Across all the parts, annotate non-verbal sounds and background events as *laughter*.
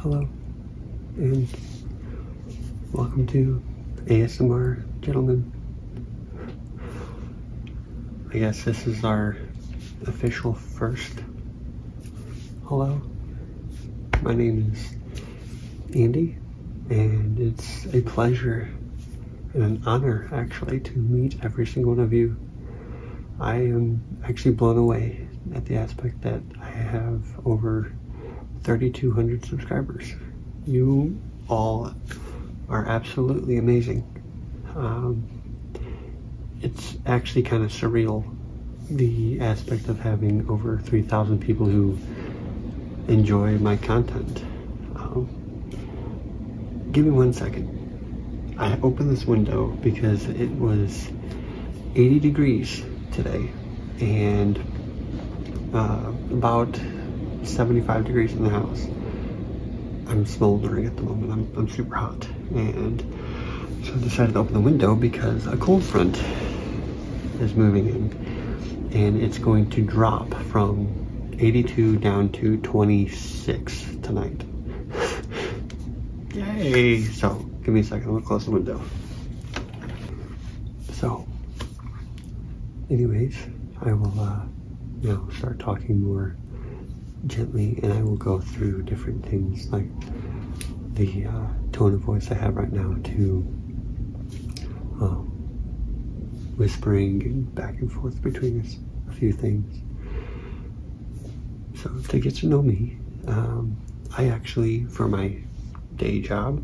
Hello, and welcome to ASMR, gentlemen. I guess this is our official first hello. My name is Andy, and it's a pleasure and an honor actually to meet every single one of you. I am actually blown away at the aspect that I have over 3,200 subscribers. You all are absolutely amazing. Um, it's actually kind of surreal, the aspect of having over 3,000 people who enjoy my content. Um, give me one second. I opened this window because it was 80 degrees today and uh, about 75 degrees in the house. I'm smoldering at the moment. I'm, super hot. And so I decided to open the window because a cold front is moving in. And it's going to drop from 82 down to 26 tonight. *laughs* Yay! So, give me a second. I'm going to close the window. So, Anyways, I will uh, now start talking more gently and I will go through different things like the uh, tone of voice I have right now to um, whispering back and forth between us a few things. So to get to know me, um, I actually, for my day job,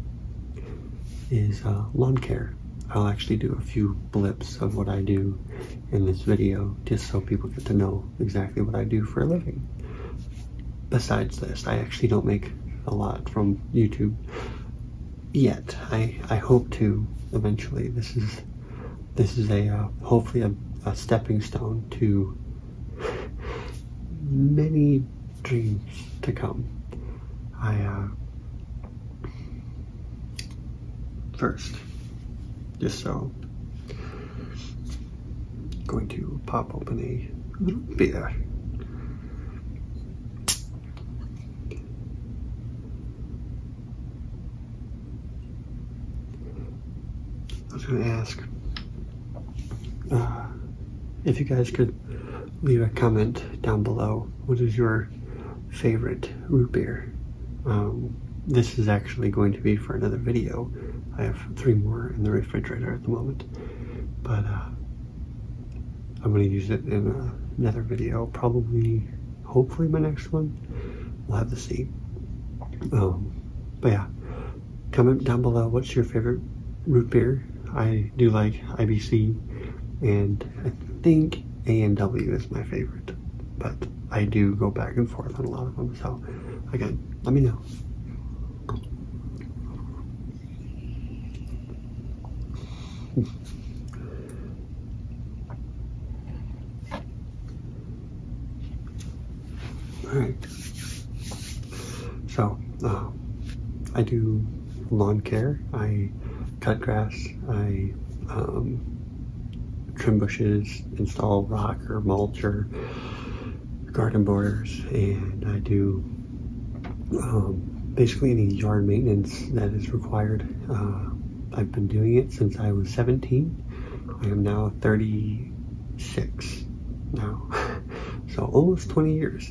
is uh, lawn care. I'll actually do a few blips of what I do in this video just so people get to know exactly what I do for a living. Besides this, I actually don't make a lot from YouTube yet. I, I hope to eventually. This is this is a uh, hopefully a, stepping stone to many dreams to come. I uh, first. Just so going to pop open a little beer. I was going to ask uh, if you guys could leave a comment down below. What is your favorite root beer? Um, this is actually going to be for another video. I have three more in the refrigerator at the moment, but uh, I'm going to use it in uh, another video. Probably, hopefully, my next one. We'll have to see. Um, but yeah, comment down below what's your favorite root beer. I do like IBC and *laughs* think A&W is my favorite, but I do go back and forth on a lot of them. So again, let me know. *laughs* All right. So uh, I do lawn care. I cut grass. I um, trim bushes, install rock or mulch or garden borders, and I do um, basically any yard maintenance that is required. Uh, I've been doing it since I was 17. I am now 36 now, *laughs* so almost 20 years.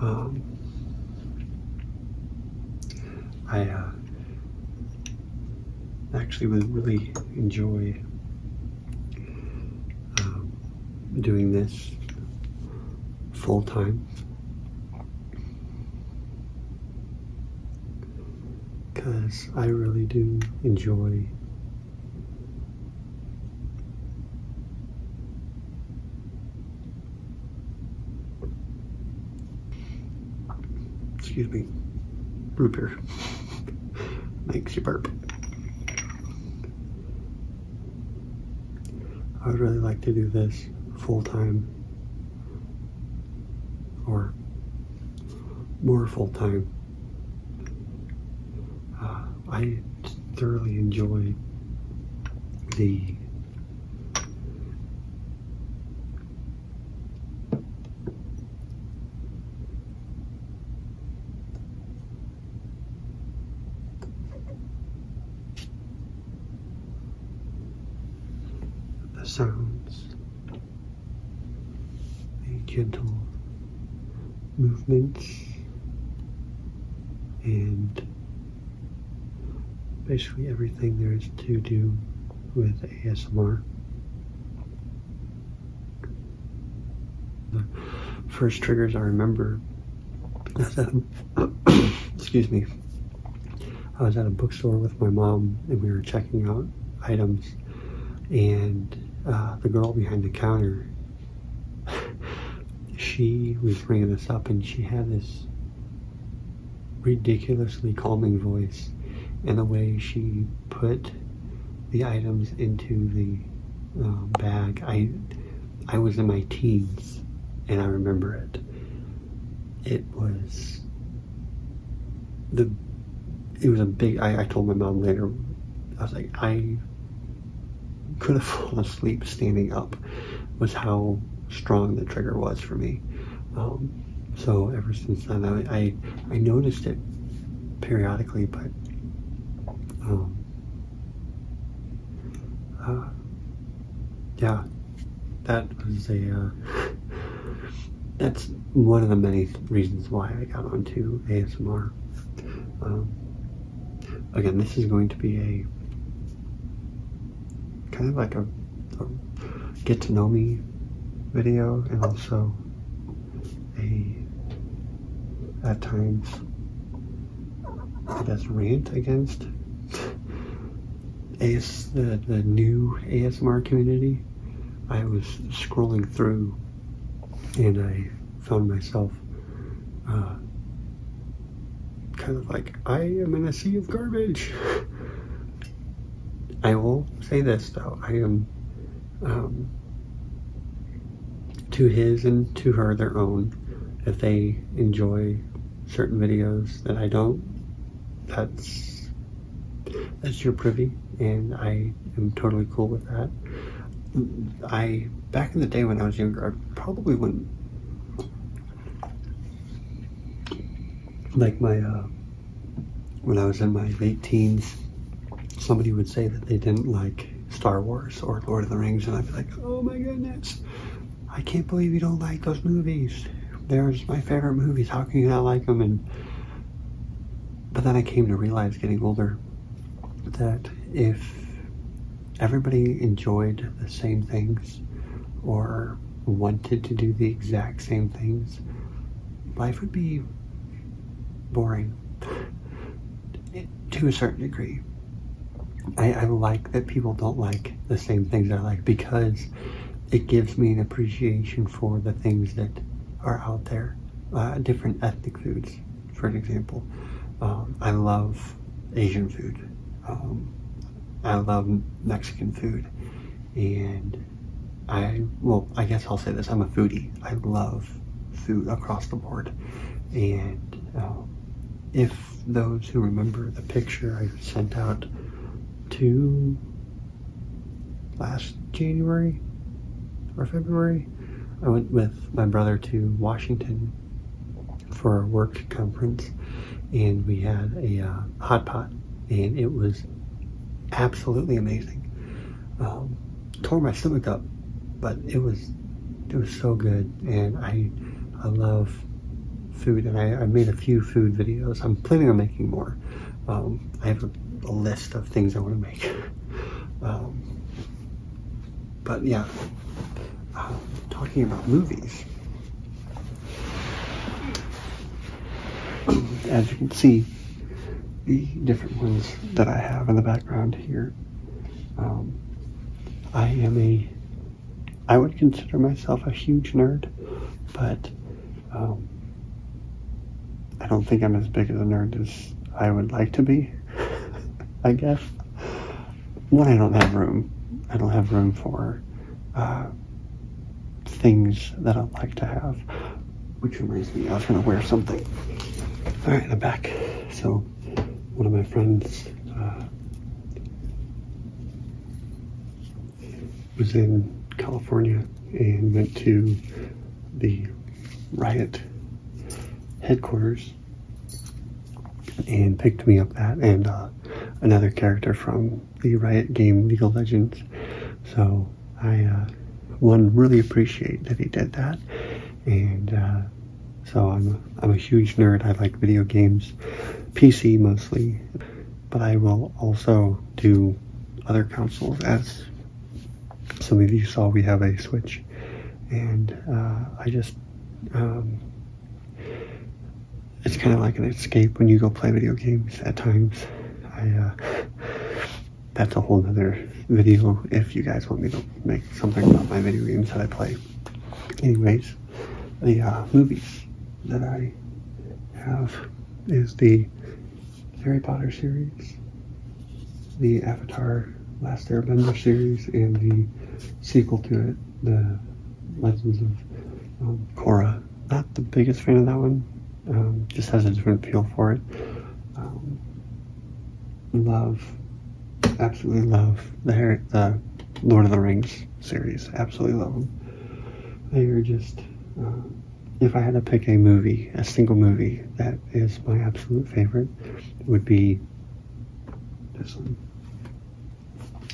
Um, I uh, actually would really enjoy um, doing this full time. Because I really do enjoy excuse me, root beer makes *laughs* you burp. I would really like to do this full time or more full time. Uh, I thoroughly enjoy the the sounds, the gentle movements, and basically everything there is to do with ASMR. The first triggers I remember *coughs* excuse me. I was at a bookstore with my mom, and we were checking out items, and uh, the girl behind the counter, *laughs* she was bringing us up, and she had this ridiculously calming voice, and the way she put the items into the um, bag. I I was in my teens, and I remember it. It was the it was a big. I, I told my mom later. I was like, I could have *laughs* fallen asleep standing up. Was how strong the trigger was for me. Um, so ever since then, I I, noticed it periodically, but um, yeah, that was a. Uh, that's one of the many reasons why I got onto ASMR. Um, again, this is going to be a kind of like a get to know me video and also a at times I guess, rant against AS, the, the new ASMR community. I was scrolling through and I found myself uh, kind of like, I am in a sea of garbage. *laughs* I will say this though, I am um, to his and to her their own. If they enjoy certain videos that I don't, that's that's your privy, and I am totally cool with that. I back in the day when I was younger, I probably wouldn't like my uh, when I was in my late teens. Somebody would say that they didn't like Star Wars or Lord of the Rings, and I'd be like, oh my goodness, I can't believe you don't like those movies. There's my favorite movies. How can you not like them? And but then I came to realize, getting older, that if everybody enjoyed the same things or wanted to do the exact same things, life would be boring to a certain degree. I, like that people don't like the same things I like because it gives me an appreciation for the things that are out there. Uh, different ethnic foods, for example. Um, I love Asian food. Um, I love Mexican food. And I, well, I guess I'll say this I'm a foodie. I love those across the board. And um, if those who remember the picture I sent out to last January or February, I went with my brother to Washington for a work conference and we had a uh, hot pot and it was absolutely amazing. Um, tore my stomach up, but it was it was so good, and I I love food, and I, I made a few food videos. I'm planning on making more. Um, I have a, list of things I want to make. *laughs* um, but yeah, um, talking about movies. *clears throat* As you can see, the different ones that I have in the background here um, I am a, I would consider myself a huge nerd, but um, I don't think I'm as big of a nerd as I would like to be, *laughs* I guess. When I don't have room, I don't have room for uh, things that I like to have, which reminds me I was going to wear something. All right, I'm back. So one of my friends uh, was in California and went to the riot headquarters and picked me up that and uh, another character from the Riot game League of Legends. So I uh, one really appreciate that he did that and uh, so I'm, I'm a huge nerd i like video games pc mostly but i will also do other consoles as some of you saw we have a switch and uh, i just um, it's kind of like an escape when you go play video games at times i uh, that's a whole other video if you guys want me to make something about my video games that I play. Anyways, the uh, movies that I have is the Harry Potter series, the Avatar Last Airbender series, and the sequel to it, the Legends of um, Korra. Not the biggest fan of that one, um, just has a different feel for it. Um, love, absolutely love the Lord of the Rings series. Absolutely love them. They are just. Um, if I had to pick a movie, a single movie that is my absolute favorite, would be this one,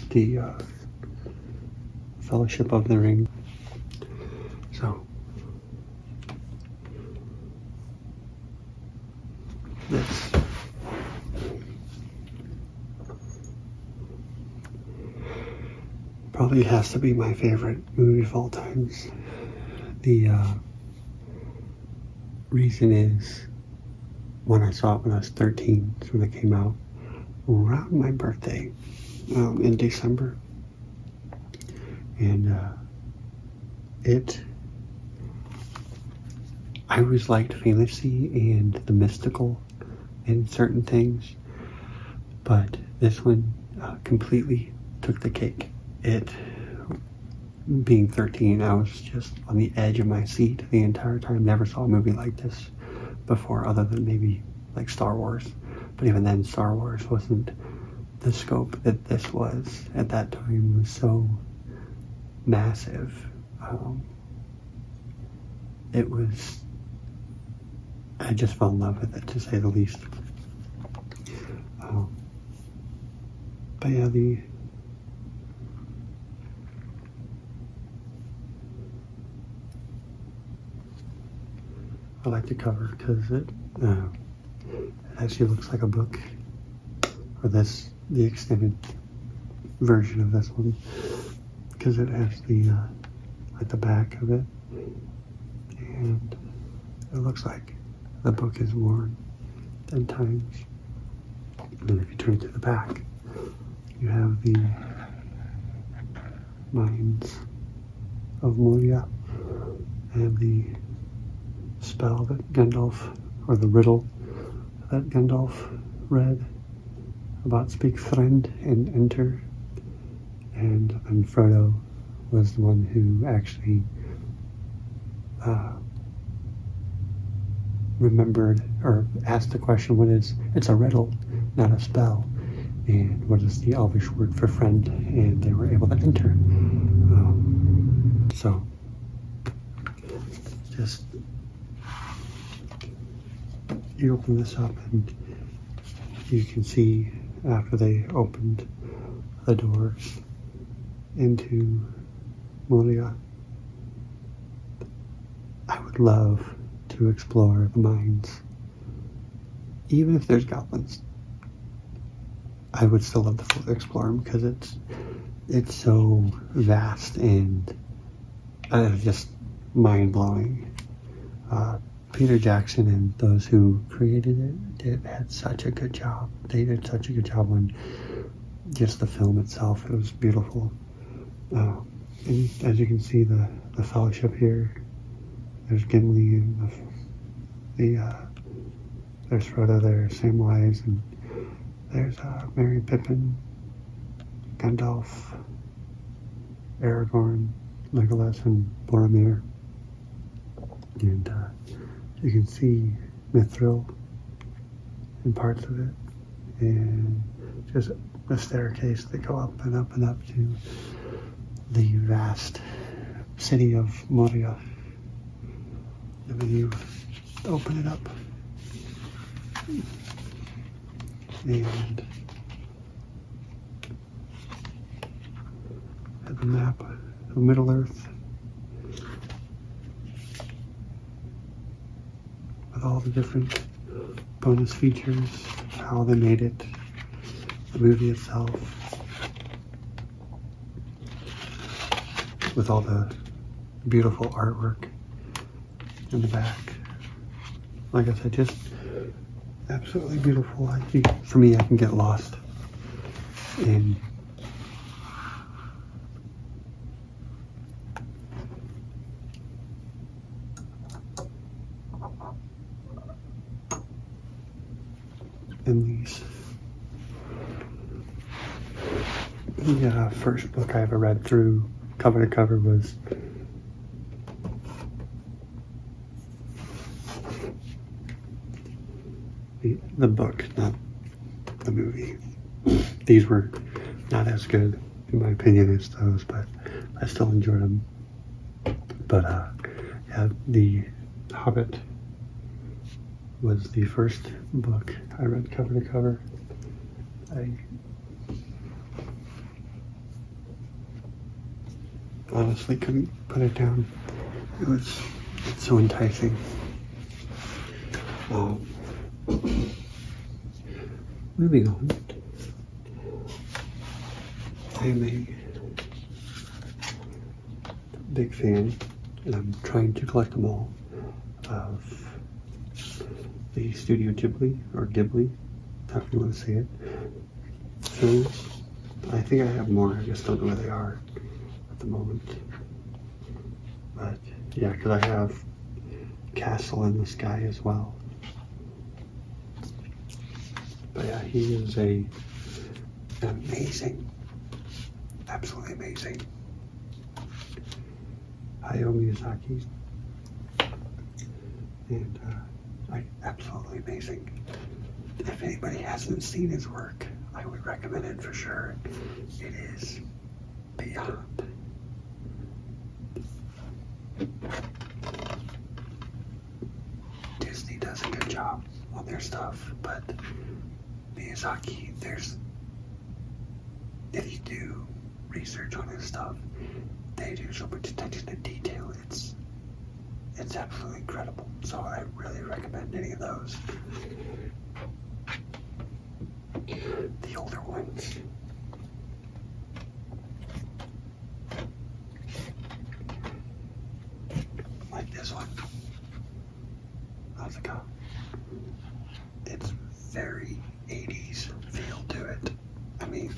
the uh, Fellowship of the Ring. So this. Probably has to be my favorite movie of all times. The uh, reason is when I saw it when I was 13, when it came out, around my birthday um, in December and uh, it i always liked fantasy and the mystical and certain things but this one uh, completely took the cake it being 13 i was just on the edge of my seat the entire time never saw a movie like this before other than maybe like star wars but even then star wars wasn't the scope that this was at that time was so massive. Um, it was, I just fell in love with it to say the least. Um, but yeah, the I like the cover because it uh, it actually looks like a book, or this, the extended version of this one, because it has the, uh, at the back of it, and it looks like the book is worn 10 times. And if you turn to the back, you have the Minds of Moria and the spell that Gandalf, or the riddle that Gandalf read about Speak Friend and Enter. And then Frodo was the one who actually uh, remembered or asked the question what is it's a riddle, not a spell. And what is the Elvish word for friend, and they were able to enter. Um, so, just you open this up, and you can see after they opened the doors into Molia. I would love to explore the mines, even if there's goblins. I would still love to explore them because it's it's so vast and uh, just mind blowing. Uh, Peter Jackson and those who created it did had such a good job. They did such a good job on just the film itself. It was beautiful. Uh, and as you can see, the the fellowship here. There's Gimli and the, there's Frodo there, Samwise, and there's uh, Mary Pippin, Gandalf, Aragorn, Legolas, and Boromir. And uh, you can see Mithril in parts of it, and just the staircase that go up and up and up to the vast city of Moria. And then you open it up. And have a map of Middle Earth with all the different bonus features, how they made it, the movie itself, with all the beautiful artwork in the back. Like I said, just absolutely beautiful. for me, I can get lost in in these. The first book I ever read through cover to cover was the book, not the movie. These were not as good, in my opinion, as those, but I still enjoyed them but uh, The Hobbit was the first book I read cover to cover. I honestly couldn't put it down. It was so enticing. Um, moving on, I big fan, and I'm trying to collect them all, of uh, the Studio Ghibli, or Ghibli, however you want to say it, Things. I think I have more, I just don't know where they are at the moment. But yeah, because I have Castle in the Sky as well. But yeah, he is a amazing, absolutely amazing. Hayao Miyazaki, and uh, absolutely amazing. If anybody hasn't seen his work, I would recommend it for sure. It is beyond Disney does a good job on their stuff, but Miyazaki, there's if you do research on his stuff, they do so much attention to detail. It's it's absolutely incredible. So I really recommend any of those. The older ones. Like this one. How's it go? It's very 80s feel to it. I mean,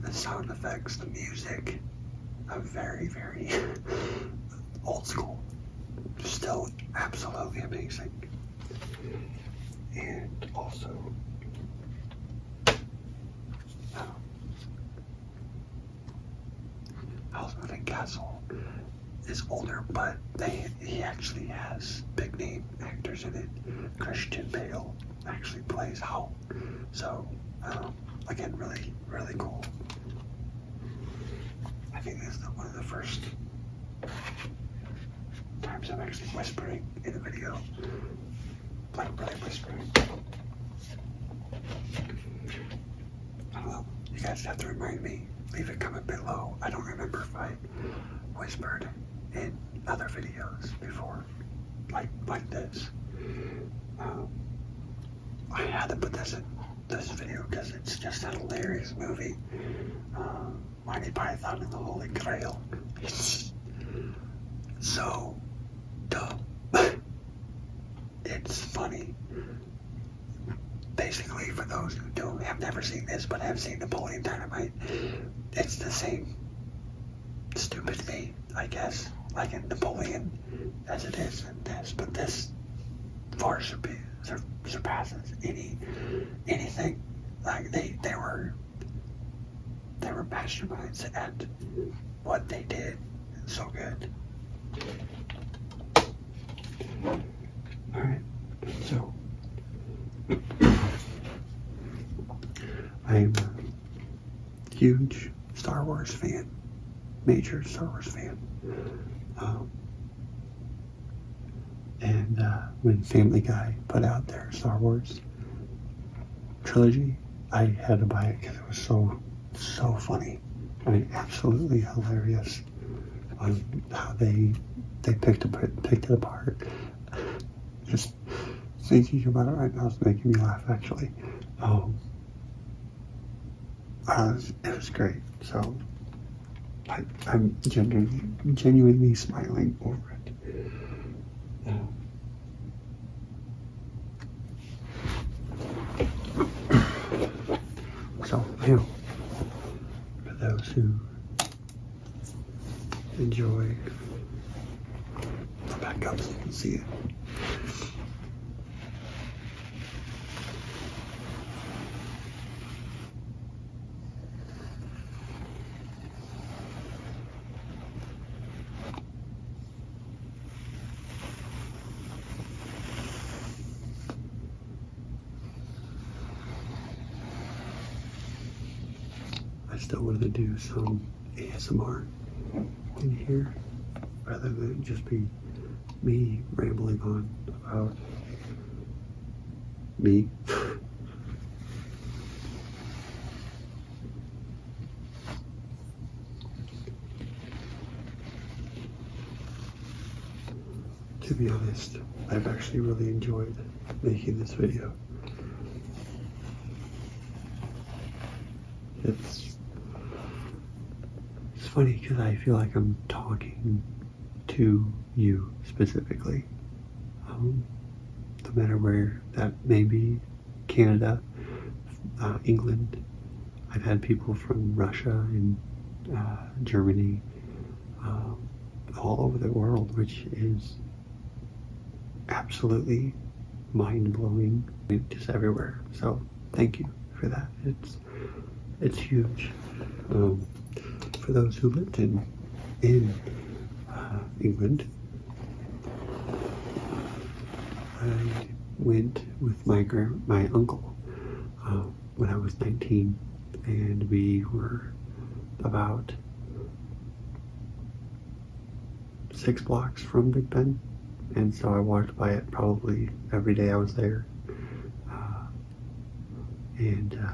the sound effects, the music, are very, very *laughs* old school. Still absolutely amazing. And also, um, Houseman and Castle is older, but they he actually has big name actors in it. Christian Bale actually plays Howl. So, um, again, really, really cool. I think this is one of the first times I'm actually whispering in a video. Like, really whispering. Well, you guys have to remind me. Leave a comment below. I don't remember if I whispered in other videos before, like like this. Um, I had to put this in this video because it's just a hilarious movie. Uh, Monty Python and the Holy Grail. It's so dumb. *laughs* it's funny. Basically, for those who don't have never seen this but have seen Napoleon Dynamite, it's the same stupid thing, I guess, like in Napoleon as it is in this, but this far surpasses any anything. Like they they were they were masterminds at what they did it's so good. Alright, so I'm a huge Star Wars fan, major Star Wars fan. Um, and uh, when Family Guy put out their Star Wars trilogy, I had to buy it because it was so so funny. I mean, absolutely hilarious on how they they picked it picked it apart. Just thinking about it right now is making me laugh. Actually, um, uh, it, was, great. So I, am genuinely genuinely smiling over it. Um, so, you for those who enjoy back up so you can see it. I still wanted to do some ASMR in here rather than just be me rambling on about me. *laughs* To be honest, I've actually really enjoyed making this video. It's, it's funny because I feel like I'm talking to you specifically. Um, no matter where that may be Canada, uh, England. I've had people from Russia and uh, Germany, uh, all over the world, which is absolutely mind blowing. Just everywhere. So thank you for that. It's it's huge. Um, for those who lived in England, I went with my my uncle uh, when I was 19, and we were about six blocks from Big Ben, and so I walked by it probably every day I was there. Uh, and uh,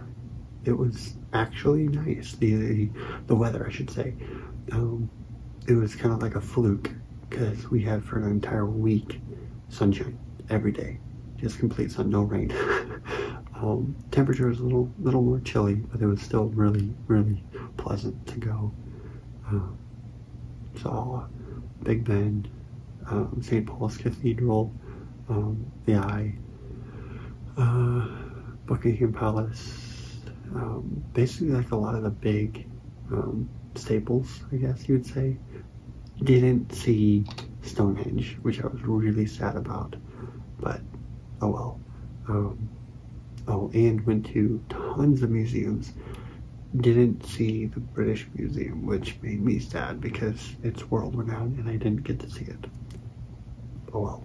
it was actually nice. The the weather, I should say. Um, it was kind of like a fluke because we had for an entire week sunshine every day, just complete sun, no rain. *laughs* Um, temperature was a little, little more chilly, but it was still really, really pleasant to go. Um, saw Big Ben, um, St. Paul's Cathedral, the Eye, uh, Buckingham Palace, um, basically like a lot of the big um, staples, I guess you would say. Didn't see Stonehenge, which I was really sad about, but oh well. Um, oh, and went to tons of museums. Didn't see the British Museum, which made me sad because it's world renowned and I didn't get to see it. Oh well.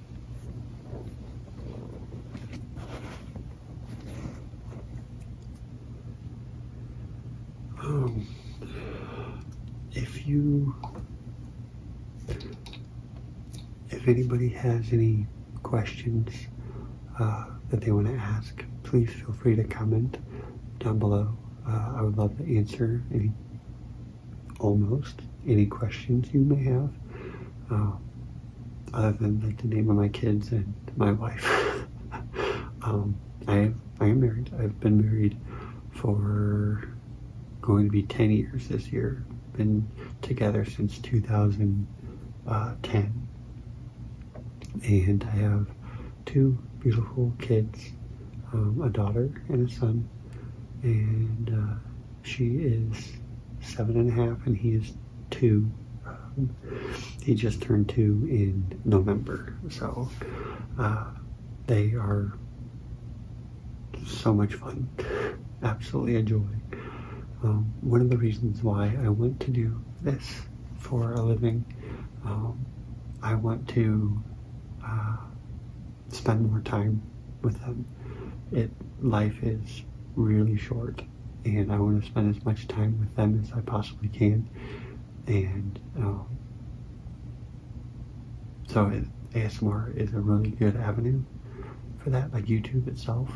Um, if you, if anybody has any questions uh, that they want to ask, please feel free to comment down below. Uh, I would love to answer any almost any questions you may have, uh, other than the name of my kids and my wife. *laughs* Um, I am married. I've been married for going to be 10 years this year. Been together since 2010, uh, and I have two beautiful kids, um, a daughter and a son, and uh, she is seven and a half, and he is two. Um, he just turned two in November, so uh, they are so much fun. Absolutely a joy. Um, one of the reasons why I want to do this for a living, um, I want to uh, spend more time with them. It life is really short, and I want to spend as much time with them as I possibly can. And um, so ASMR is a really good avenue for that, like YouTube itself.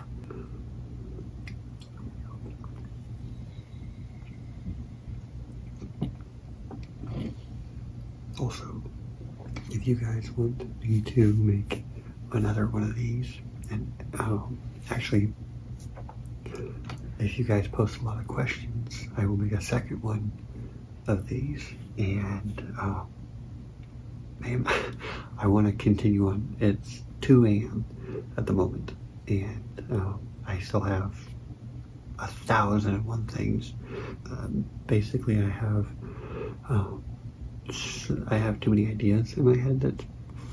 Also, if you guys want me to make another one of these, and um, actually, if you guys post a lot of questions, I will make a second one of these. And, uh, man, *laughs* I want to continue on. It's 2 a.m. at the moment, and uh, I still have a thousand and one things. Um, basically, I have uh, I have too many ideas in my head that's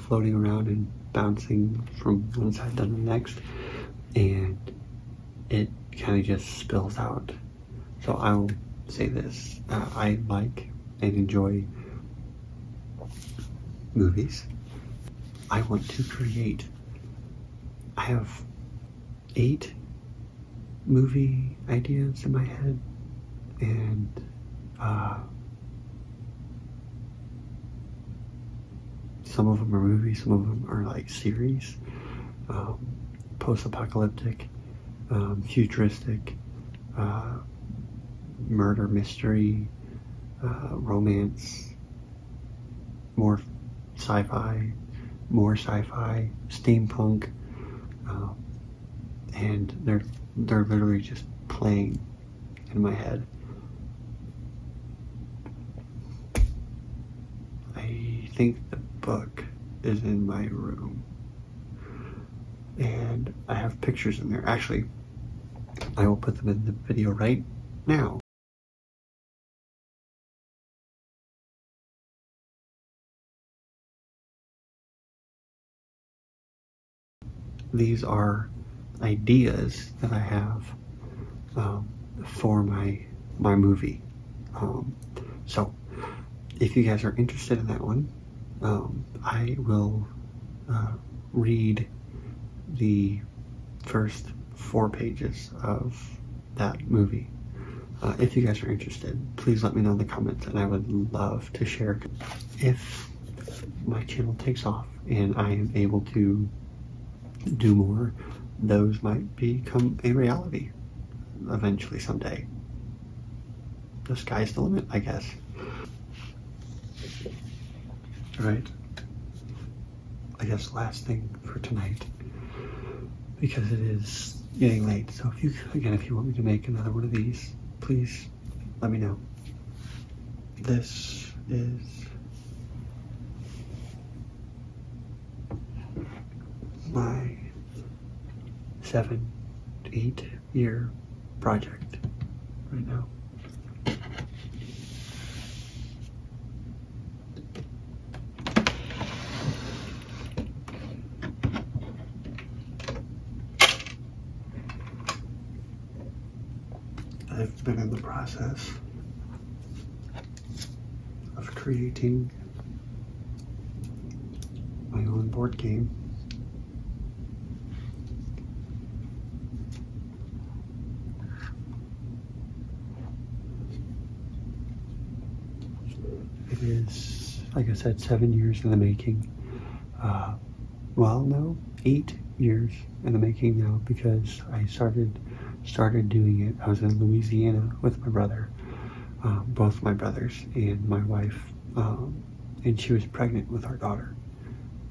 floating around and bouncing from one side to the next, and it kind of just spills out. So I will say this uh, I like and enjoy movies. I want to create. I have eight movie ideas in my head and uh, some of them are movies, some of them are like series, um, post-apocalyptic, um, futuristic, uh, murder mystery, uh, romance, more sci-fi, more sci-fi, steampunk, uh, and they're they're literally just playing in my head. I think the book is in my room, and I have pictures in there. Actually, I will put them in the video right now. These are ideas that I have um, for my my movie. Um, so, if you guys are interested in that one, um, I will uh, read the first four pages of that movie. Uh, if you guys are interested, please let me know in the comments and I would love to share. If my channel takes off and I am able to do more, those might become a reality eventually someday. The sky's the limit, I guess. Right. I guess last thing for tonight because it is getting late. So if you again, if you want me to make another one of these, please let me know. This is my seven, eight year project right now. I've been in the process of creating my own board game it is, like I said, seven years in the making. Uh, well, no, eight years in the making now because I started started doing it. I was in Louisiana with my brother, uh, both my brothers, and my wife, um, and she was pregnant with our daughter,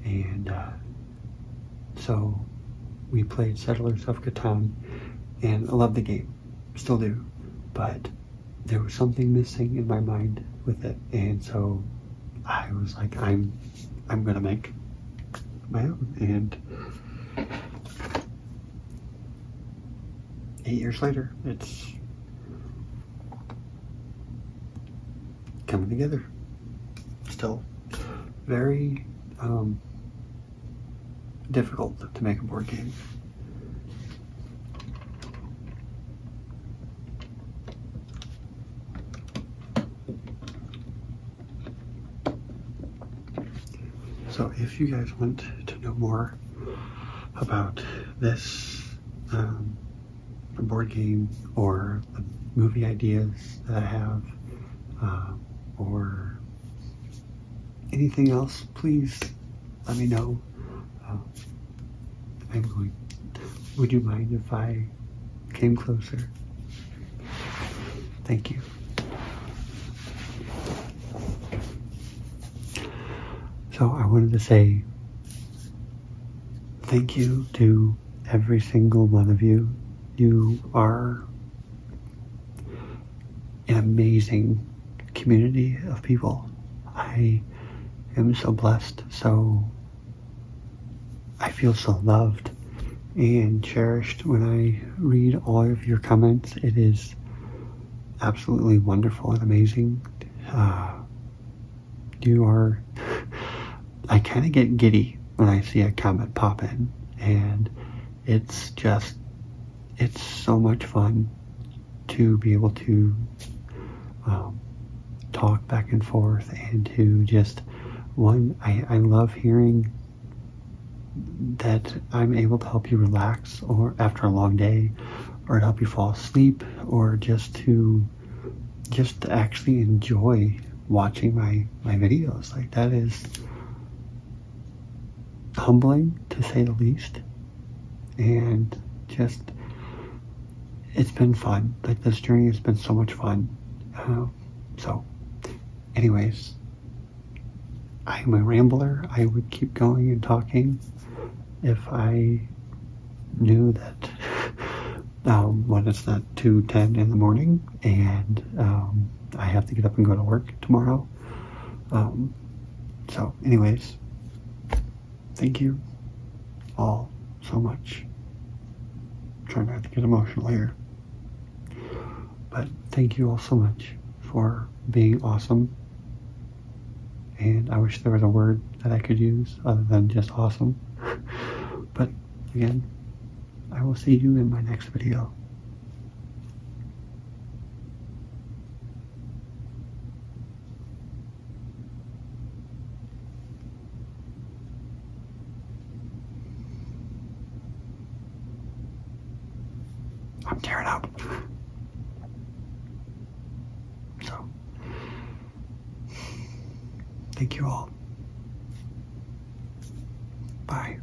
and uh, so we played Settlers of Catan, and I love the game still do, but there was something missing in my mind with it, and so I was like, I'm, I'm gonna make my own, and eight years later, it's coming together. Still very um, difficult to make a board game. So if you guys want to know more about this um, board game or the movie ideas that I have uh, or anything else, please let me know. Uh, I'm going. Would you mind if I came closer? Thank you. So I wanted to say thank you to every single one of you. You are an amazing community of people. I am so blessed, so I feel so loved and cherished when I read all of your comments. It is absolutely wonderful and amazing. Uh, you are, *laughs* I kind of get giddy when I see a comment pop in, and it's just it's so much fun to be able to um, talk back and forth and to just one I, love hearing that I'm able to help you relax or after a long day or to help you fall asleep or just to just actually enjoy watching my my videos like that is humbling to say the least. And just, it's been fun. Like this journey has been so much fun. Um, so, anyways, I'm a rambler. I would keep going and talking if I knew that *laughs* um, when it's not 2.10 in the morning and um, I have to get up and go to work tomorrow. Um, so, anyways, thank you all so much. I'm trying not to get emotional here. But thank you all so much for being awesome. And I wish there was a word that I could use other than just awesome. *laughs* but again, I will see you in my next video. I'm tearing up. So, thank you all. Bye.